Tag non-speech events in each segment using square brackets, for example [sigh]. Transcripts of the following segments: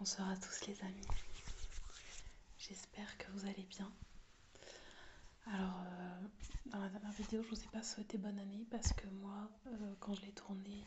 Bonsoir à tous les amis. J'espère que vous allez bien. Alors, euh, dans la dernière vidéo, je vous ai pas souhaité bonne année parce que moi, euh, quand je l'ai tournée,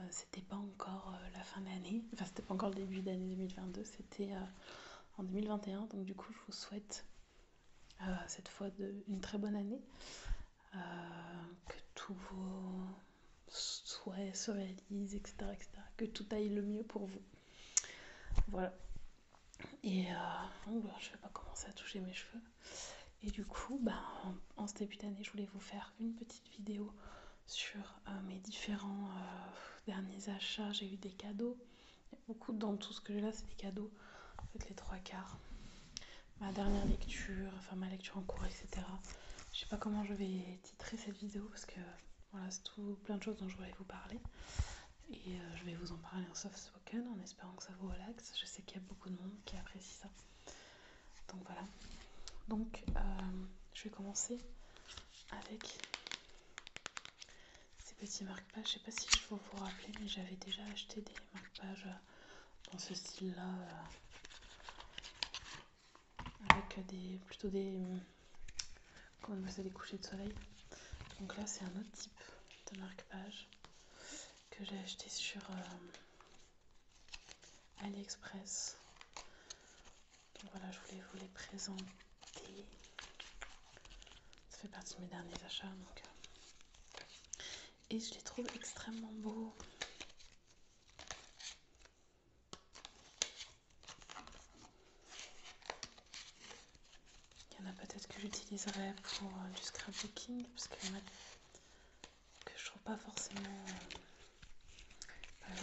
euh, c'était pas encore la fin d'année. [laughs] Enfin, c'était pas encore le début d'année 2022. C'était en 2021. Donc, du coup, je vous souhaite cette fois une très bonne année. Euh, que tous vos souhaits se réalisent, etc., que tout aille le mieux pour vous. Voilà. Et euh, bah, je ne vais pas commencer à toucher mes cheveux. Et du coup, ben, en, ce début d'année, je voulais vous faire une petite vidéo sur euh, mes différents derniers achats. J'ai eu des cadeaux. Il y a beaucoup dans tout ce que j'ai là, c'est des cadeaux. En fait, les trois quarts ma dernière lecture, enfin ma lecture en cours, etc. Je sais pas comment je vais titrer cette vidéo parce que voilà, c'est tout plein de choses dont je voulais vous parler. Et euh, je vais vous en parler en soft spoken en espérant que ça vous relaxe. Je sais qu'il y a beaucoup de monde qui apprécie ça. Donc voilà. Donc euh, je vais commencer avec ces petits marque-pages. Je sais pas si je vais vous rappeler, mais j'avais déjà acheté des marque-pages euh, euh, dans ce style là euh, avec des plutôt des euh, comment des couchers de soleil donc là c'est un autre type de marque page que j'ai acheté sur AliExpress donc voilà je voulais vous les présenter ça fait partie de mes derniers achats donc et je les trouve extrêmement beaux il y en a peut-être que j'utiliserai pour euh, du scrapbooking, parce que je trouve pas forcément. Euh,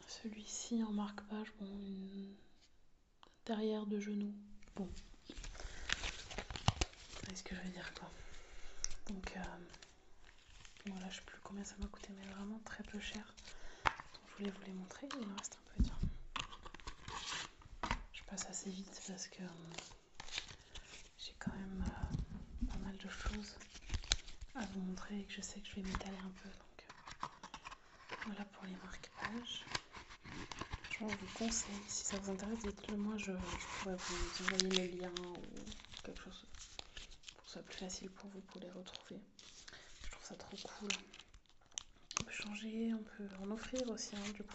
pas celui-ci en marque-page, bon, derrière de genoux. Bon. C'est ce que je veux dire quoi. Donc euh, bon voilà, je sais plus combien ça m'a coûté, mais vraiment très peu cher. Donc, je voulais vous les montrer, il me reste un peu. temps, Je passe assez vite parce que euh, j'ai quand même euh, pas mal de choses à vous montrer et que je sais que je vais m'étaler un peu. Donc voilà pour les marque-pages. Je vous conseille, si ça vous intéresse, dites-le moi, je, pourrais vous envoyer le lien ou quelque chose pour que ce soit plus facile pour vous pour les retrouver. Je trouve ça trop cool. On peut changer, on peut en offrir aussi, hein, du coup.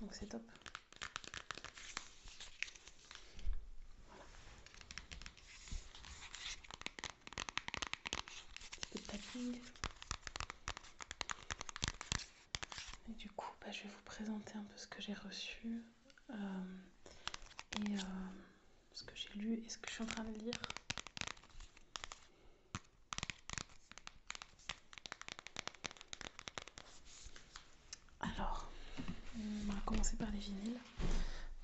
Donc c'est top. Voilà. Et du coup, bah, je vais vous présenter un peu ce que j'ai reçu euh, et euh, ce que j'ai lu et ce que je suis en train de lire. Alors, on va commencer par les vinyles.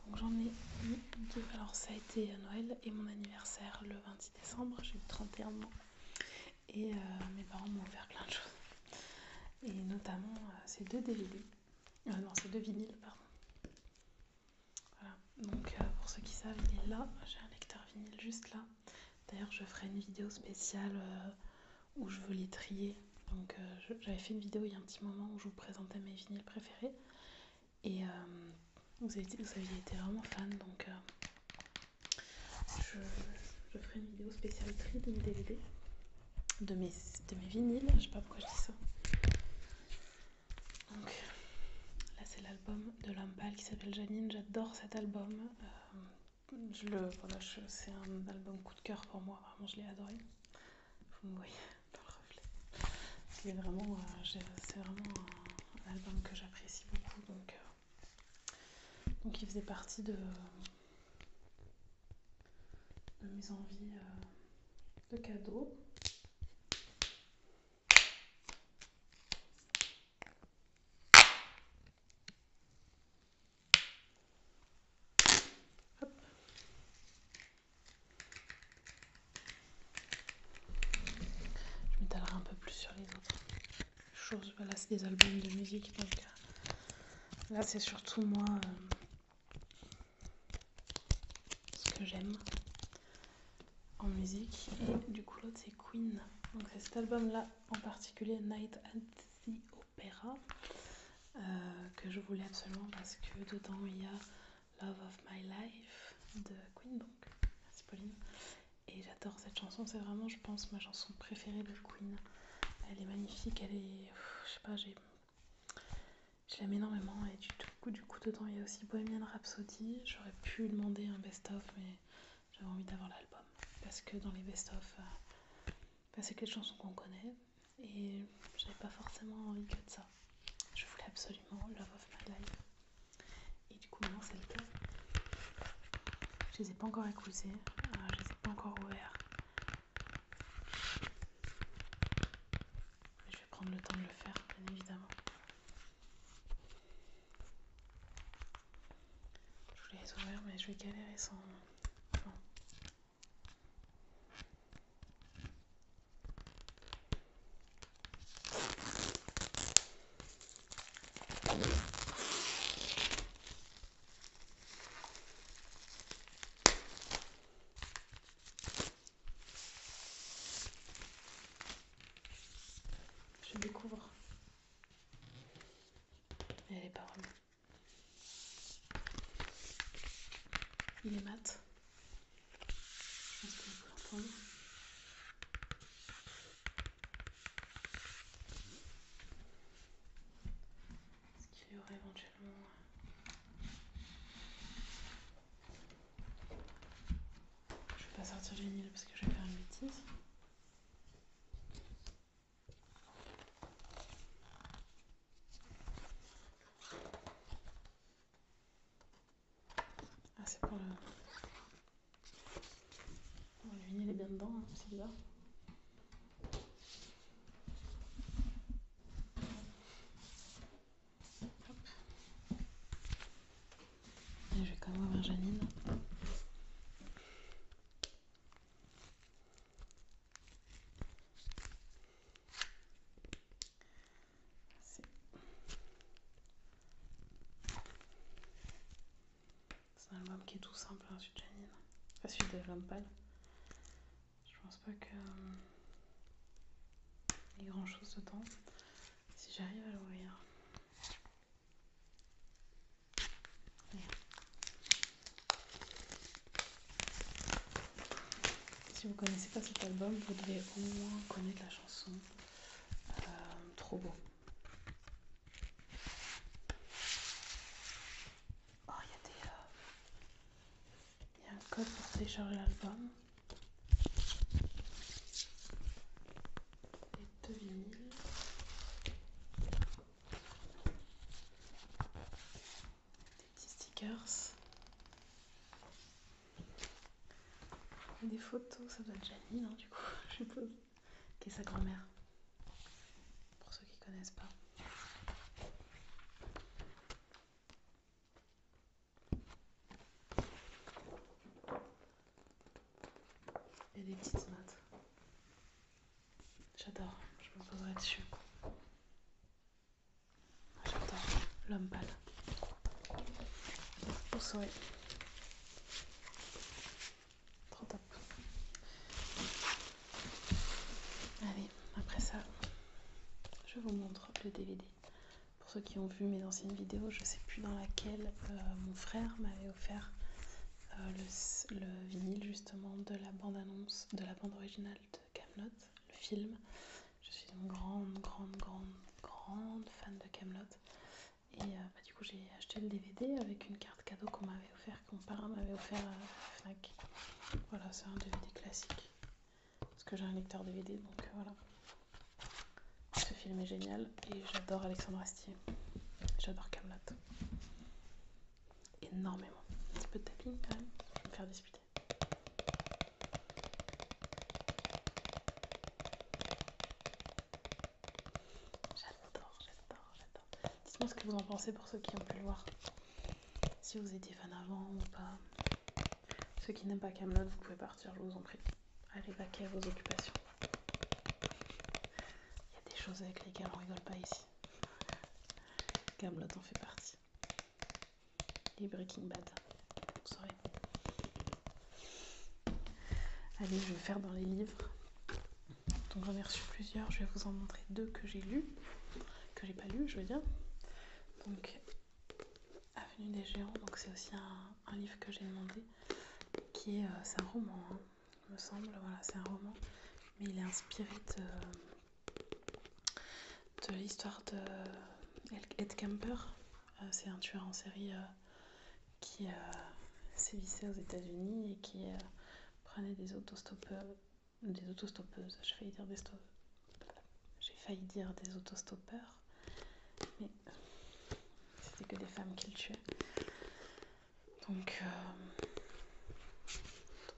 Donc j'en ai eu deux. Alors ça a été à Noël et mon anniversaire le 26 décembre. J'ai eu 31 ans. Et euh, mes parents m'ont offert plein de choses. Et notamment euh, ces deux DVD. Euh, non, ces deux vinyles, pardon. Voilà. Donc pour ceux qui savent, il est là. J'ai un lecteur vinyle juste là. D'ailleurs, je ferai une vidéo spéciale où je veux les trier. Donc j'avais fait une vidéo il y a un petit moment où je vous présentais mes vinyles préférés. Et euh, vous, aviez été vraiment fan, donc euh, je, ferai une vidéo spéciale tri de mes DVD, de mes, vinyles, je sais pas pourquoi je dis ça. Donc là c'est l'album de Lampal qui s'appelle Janine, j'adore cet album. Euh, je le, c'est un album coup de cœur pour moi, vraiment je l'ai adoré. Vous voyez euh, c'est vraiment, un, album que j'apprécie beaucoup. Donc, euh, donc il faisait partie de, mes envies euh, de cadeaux. Je m'étalerai un peu plus sur les autres choses. Voilà, c'est des albums de musique. Euh, là, c'est surtout moi euh, ce que j'aime en musique. Et du coup, l'autre, c'est Queen. Donc c'est cet album-là en particulier, Night at the Opera. Euh, que je voulais absolument parce que dedans il y a Love of My Life de Queen donc c'est Pauline et j'adore cette chanson c'est vraiment je pense ma chanson préférée de Queen elle est magnifique elle est je sais pas j'ai je l'aime énormément et du coup, du coup dedans il y a aussi Bohemian Rhapsody j'aurais pu demander un best-of mais j'avais envie d'avoir l'album parce que dans les best-of euh, bah, c'est que chansons qu'on connaît et j'avais pas forcément envie que de ça. Je voulais absolument Love of My Life. Et du coup, maintenant c'est le cas. Je les ai pas encore écoutés, euh, je les ai pas encore ouverts. je vais prendre le temps de le faire, bien évidemment. Je voulais les ouvrir, mais je vais galérer sans. Je découvre. Elle est pas paroles. Il est mat. Je pense que vous l'entendre. Est-ce qu'il y aurait éventuellement euh, je ne vais pas sortir les mille parce que je vais faire une bêtise. Ah, c'est pour le. le vinyle est bien dedans, hein, c'est bizarre. Et je vais quand même ouvrir Janine. C'est un album qui est tout simple, hein, celui de Janine. celui de Lampal. Je pense pas que. Euh, il y ait grand chose de temps, Si j'arrive à l'ouvrir. Si vous connaissez pas cet album, vous devez au moins connaître la chanson euh, Trop beau. Oh, il y a des. Euh, il y a un code pour télécharger l'album. Et deux vinyles. Des petits stickers. Des photos, ça doit être Janine, hein, du coup, [laughs] je suppose, qui est sa grand-mère. Pour ceux qui connaissent pas. Et des petites maths. J'adore, je me poserai dessus. J'adore l'homme pâle. au soleil, Trop top. Allez, après ça, je vous montre le DVD. Pour ceux qui ont vu mes anciennes vidéos, je sais plus dans laquelle euh, mon frère m'avait offert euh, le, vinyle justement de la bande-annonce, de la bande originale de Camelot, le film. Je suis une grande, grande, grande, grande fan de Camelot. Et euh, bah, du coup j'ai acheté le DVD avec une carte cadeau qu'on m'avait offert, qu'on parrain m'avait offert à Fnac. Voilà, c'est un DVD classique. Parce que j'ai un lecteur DVD, donc euh, voilà. Ce film est génial et j'adore Alexandre Astier. J'adore Camelot énormément. Un petit peu de tapping quand même, je vais me faire disputer. J'adore, j'adore, j'adore. Dites-moi ce que vous en pensez pour ceux qui ont pu le voir. Si vous étiez fan avant ou pas. Ceux qui n'aiment pas Camelot, vous pouvez partir, je vous en prie. Allez, vaquer à vos occupations. Il y a des choses avec lesquelles on rigole pas ici. Gamelot en fait partie. Les Breaking Bad, vous Allez, je vais faire dans les livres. Donc j'en ai reçu plusieurs, je vais vous en montrer deux que j'ai lus, que j'ai pas lu, je veux dire. Donc Avenue des Géants, donc c'est aussi un, livre que j'ai demandé, qui est, euh, c'est un roman, hein il me semble. Voilà, c'est un roman, mais il est inspiré de, de l'histoire de Ed Kemper. Euh, c'est un tueur en série euh, qui euh, sévissait aux États-Unis et qui prenait des autostoppeurs, des autostoppeuses. J'ai failli dire des j'ai failli dire des autostoppeurs, mais c'était que des femmes qu'il tuaient. Donc, euh,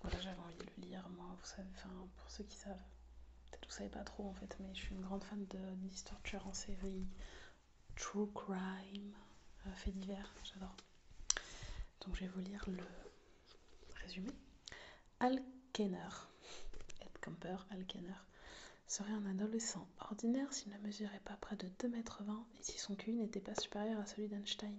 voilà, j'avais envie de le lire, moi, vous savez, enfin, pour ceux qui savent. Peut-être vous savez pas trop en fait, mais je suis une grande fan de Distorture en série, True Crime, euh, fait divers, j'adore. Donc je vais vous lire le résumé. Al Kenner, Ed Camper, Al Kenner, serait un adolescent ordinaire s'il ne mesurait pas près de 2,20 m et si son cul n'était pas supérieur à celui d'Einstein.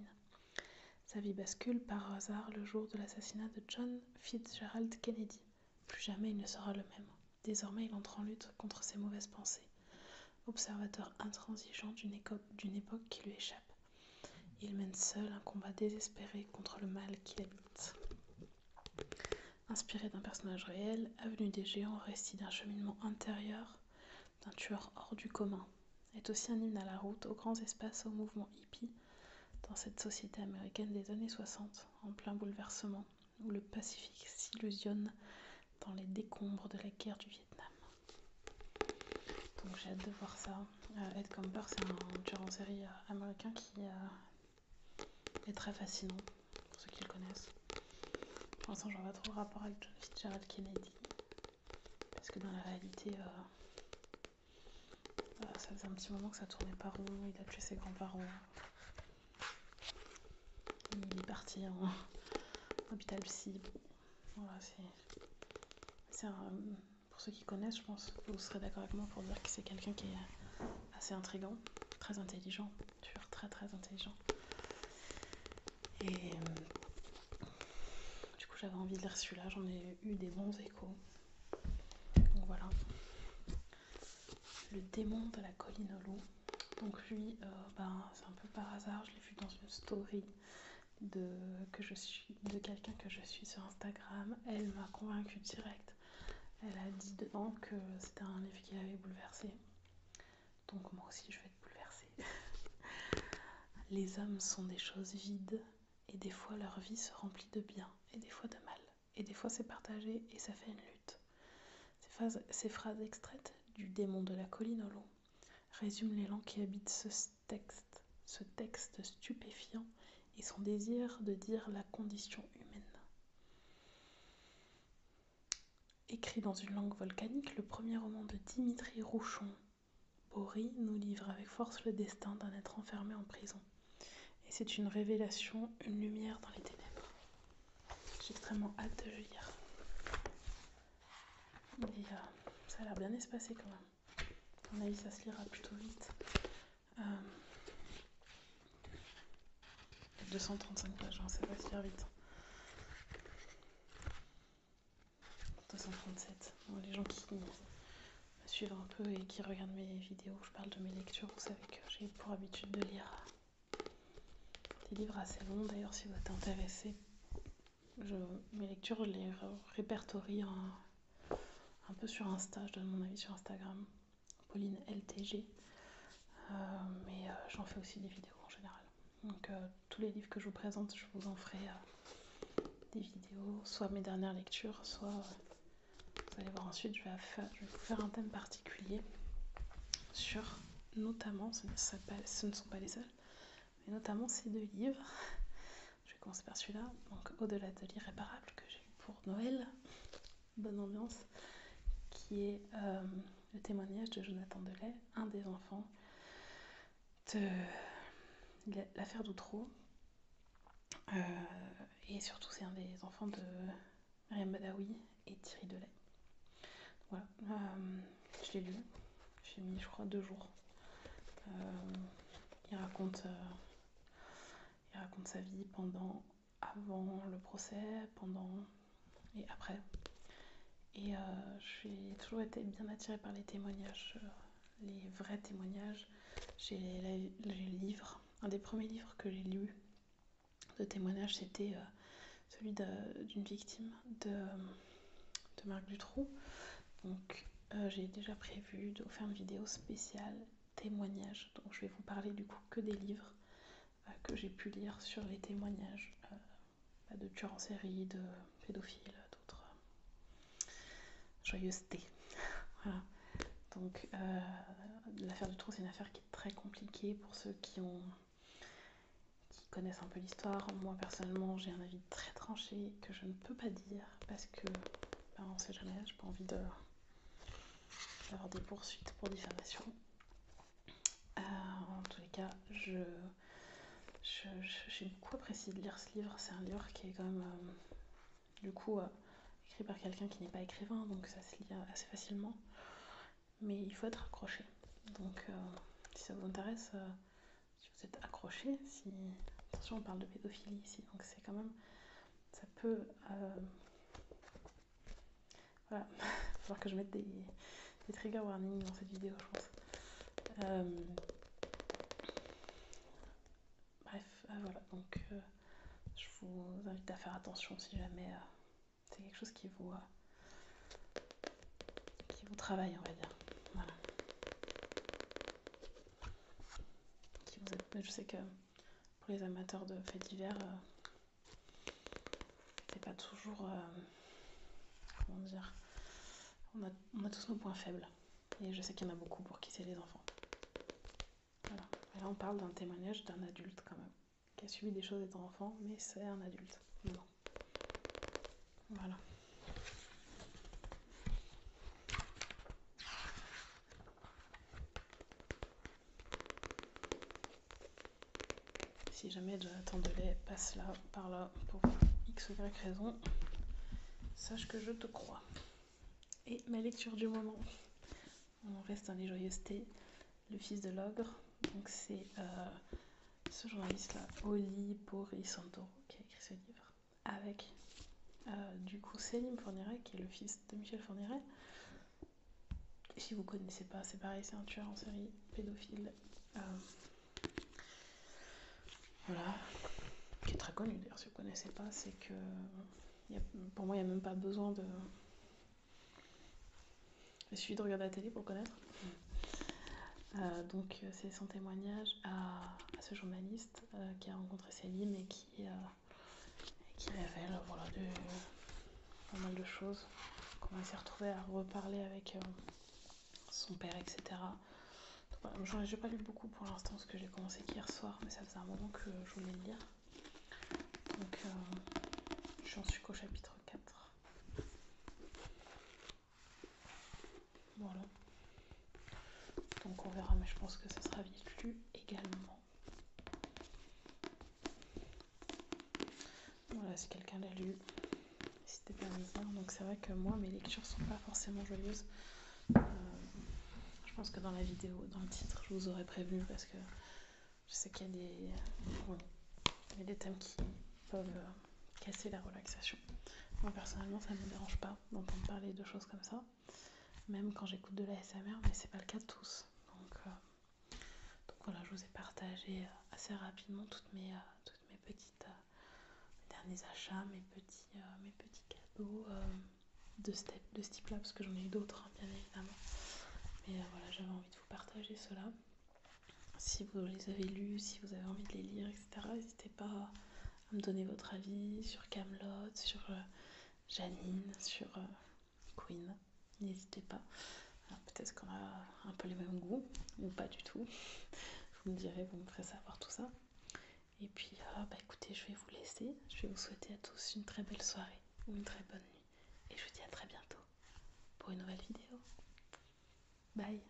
Sa vie bascule par hasard le jour de l'assassinat de John Fitzgerald Kennedy. Plus jamais il ne sera le même. Désormais, il entre en lutte contre ses mauvaises pensées, observateur intransigeant d'une époque qui lui échappe. Il mène seul un combat désespéré contre le mal qui l'habite. Inspiré d'un personnage réel, Avenue des Géants récit d'un cheminement intérieur d'un tueur hors du commun, est aussi un hymne à la route, aux grands espaces, au mouvement hippie, dans cette société américaine des années 60, en plein bouleversement, où le Pacifique s'illusionne dans les décombres de la guerre du Vietnam. Donc j'ai hâte de voir ça. Euh, Ed comme c'est un tueur en série euh, américain qui euh, est très fascinant pour ceux qui le connaissent. Pour l'instant, j'en vois trop rapport avec John Fitzgerald Kennedy, parce que dans la réalité, euh, euh, ça faisait un petit moment que ça tournait pas rond, il a tué ses grands-parents. Il est parti en, [laughs] hôpital psy. Voilà, c'est. Pour ceux qui connaissent, je pense que vous serez d'accord avec moi pour dire que c'est quelqu'un qui est assez intrigant, très intelligent, très très intelligent. Et euh, du coup, j'avais envie de lire celui-là, j'en ai eu des bons échos. Donc voilà. Le démon de la colline au loup. Donc lui, euh, ben, c'est un peu par hasard, je l'ai vu dans une story de, de quelqu'un que je suis sur Instagram. Elle m'a convaincue direct. Elle a dit dedans que c'était un livre qui l'avait bouleversé. Donc moi aussi je vais être bouleversée. [laughs] Les hommes sont des choses vides et des fois leur vie se remplit de bien et des fois de mal. Et des fois c'est partagé et ça fait une lutte. Ces phrases, extraites du démon de la colline au long résument l'élan qui habite ce texte, ce texte stupéfiant et son désir de dire la condition humaine. Écrit dans une langue volcanique, le premier roman de Dimitri Rouchon, Boris, nous livre avec force le destin d'un être enfermé en prison. Et c'est une révélation, une lumière dans les ténèbres. J'ai extrêmement hâte de lire. Et euh, ça a l'air bien espacé quand même. À mon avis, ça se lira plutôt vite. Euh, 235 pages, ne hein, sais pas si vite. 237. les gens qui me suivent un peu et qui regardent mes vidéos où je parle de mes lectures, vous savez que j'ai pour habitude de lire des livres assez longs. D'ailleurs, si vous êtes intéressé, mes lectures, je les répertorie un, peu sur Insta, je donne mon avis sur Instagram. Pauline LTG. Euh, mais euh, j'en fais aussi des vidéos en général. Donc euh, tous les livres que je vous présente, je vous en ferai des vidéos, soit mes dernières lectures, soit vous allez voir ensuite, je vais, faire, vous faire un thème particulier sur notamment, ce ne, ce ne sont pas les seuls, mais notamment ces deux livres. Je vais commencer par celui-là, donc Au-delà de l'irréparable que j'ai eu pour Noël, bonne ambiance, qui est euh, le témoignage de Jonathan Delay, un des enfants de l'affaire d'Outreau. Euh, et surtout, c'est un des enfants de Mariam Badawi et Thierry Delay. Voilà, euh, je l'ai lu. J'ai mis, je crois, deux jours. il raconte sa vie pendant avant le procès, pendant et après. Et euh, j'ai toujours été bien attirée par les témoignages, euh, les vrais témoignages. J'ai les, livres. Un des premiers livres que j'ai lu de témoignages, c'était euh, celui d'une victime de, Marc Dutroux. Donc j'ai déjà prévu de faire une vidéo spéciale témoignages. Donc je vais vous parler du coup que des livres euh, que j'ai pu lire sur les témoignages euh, bah, de tueurs en série, de pédophiles, d'autres euh, joyeusetés. [laughs] voilà. Donc l'affaire du trou, c'est une affaire qui est très compliquée pour ceux qui ont qui connaissent un peu l'histoire. Moi personnellement, j'ai un avis très tranché que je ne peux pas dire parce que on ben, on sait jamais, j'ai pas envie de avoir des poursuites pour diffamation. Euh, en tous les cas, je, je, j'ai beaucoup apprécié de lire ce livre. C'est un livre qui est quand même, euh, du coup, euh, écrit par quelqu'un qui n'est pas écrivain, donc ça se lit assez facilement. Mais il faut être accroché. Donc, si ça vous intéresse, si vous êtes accroché, si... Attention, on parle de pédophilie ici, donc c'est quand même ça peut. Euh, voilà, il va [laughs] falloir que je mette des, des trigger warnings dans cette vidéo, je pense. Euh, bref, euh, voilà, donc je vous invite à faire attention si jamais c'est quelque chose qui vous, qui vous travaille, on va dire. Voilà. Je sais que pour les amateurs de faits divers, euh, c'est pas toujours. Euh, comment dire on a, tous nos points faibles. Et je sais qu'il y en a beaucoup pour quitter les enfants. Voilà. là, on parle d'un témoignage d'un adulte, quand même, qui a subi des choses étant enfant, mais c'est un adulte. Voilà. Si jamais de lait passe là, par là, pour x ou y raison, sache que je te crois. Et ma lecture du moment. On reste dans les joyeusetés. Le fils de l'ogre, donc c'est euh, ce journaliste-là, Oli Porisanto. Santoro, qui a écrit ce livre avec euh, du coup Céline Fourniret, qui est le fils de Michel Fourniret. si vous connaissez pas, c'est pareil, c'est un tueur en série pédophile. Euh, voilà, qui est très connu d'ailleurs, si vous connaissez pas, c'est que pour moi, il n'y a même pas besoin de. je suis de regarder la télé pour connaître. Euh, donc, c'est son témoignage à, ce journaliste qui a rencontré Céline et qui qui, euh, qui révèle de, pas mal de choses. Comment s'est retrouvé à reparler avec euh, son père, etc. Donc, n'ai pas lu beaucoup pour l'instant parce que j'ai commencé hier soir, mais ça faisait un moment que je voulais le lire. Donc je euh, j'en suis qu'au chapitre 4. Voilà. Donc on verra, mais je pense que ça sera vite lu également. Voilà, si quelqu'un l'a lu, c'était bien bizarre. Hein. Donc c'est vrai que moi, mes lectures sont pas forcément joyeuses. Euh, je pense que dans la vidéo, dans le titre, je vous aurais prévu, parce que je sais qu'il y a des thèmes qui peuvent euh, casser la relaxation. Moi personnellement, ça ne me dérange pas d'entendre parler de choses comme ça, même quand j'écoute de la SMR, mais c'est pas le cas de tous. Donc, euh, voilà, je vous ai partagé euh, assez rapidement toutes mes, euh, toutes mes petites derniers achats, mes petits, mes petits cadeaux de, ce, de type-là, parce que j'en ai eu d'autres, hein, bien évidemment. Mais voilà, j'avais envie de vous partager cela. Si vous les avez lus, si vous avez envie de les lire, etc., n'hésitez pas à me donner votre avis sur Camelot, sur euh, Janine, sur euh, Queen. N'hésitez pas. Peut-être qu'on a un peu les mêmes goûts ou pas du tout. Vous me direz, vous me ferez savoir tout ça. Et puis, euh, bah, écoutez, je vais vous laisser. Je vais vous souhaiter à tous une très belle soirée ou une très bonne nuit. Et je vous dis à très bientôt pour une nouvelle vidéo. Bye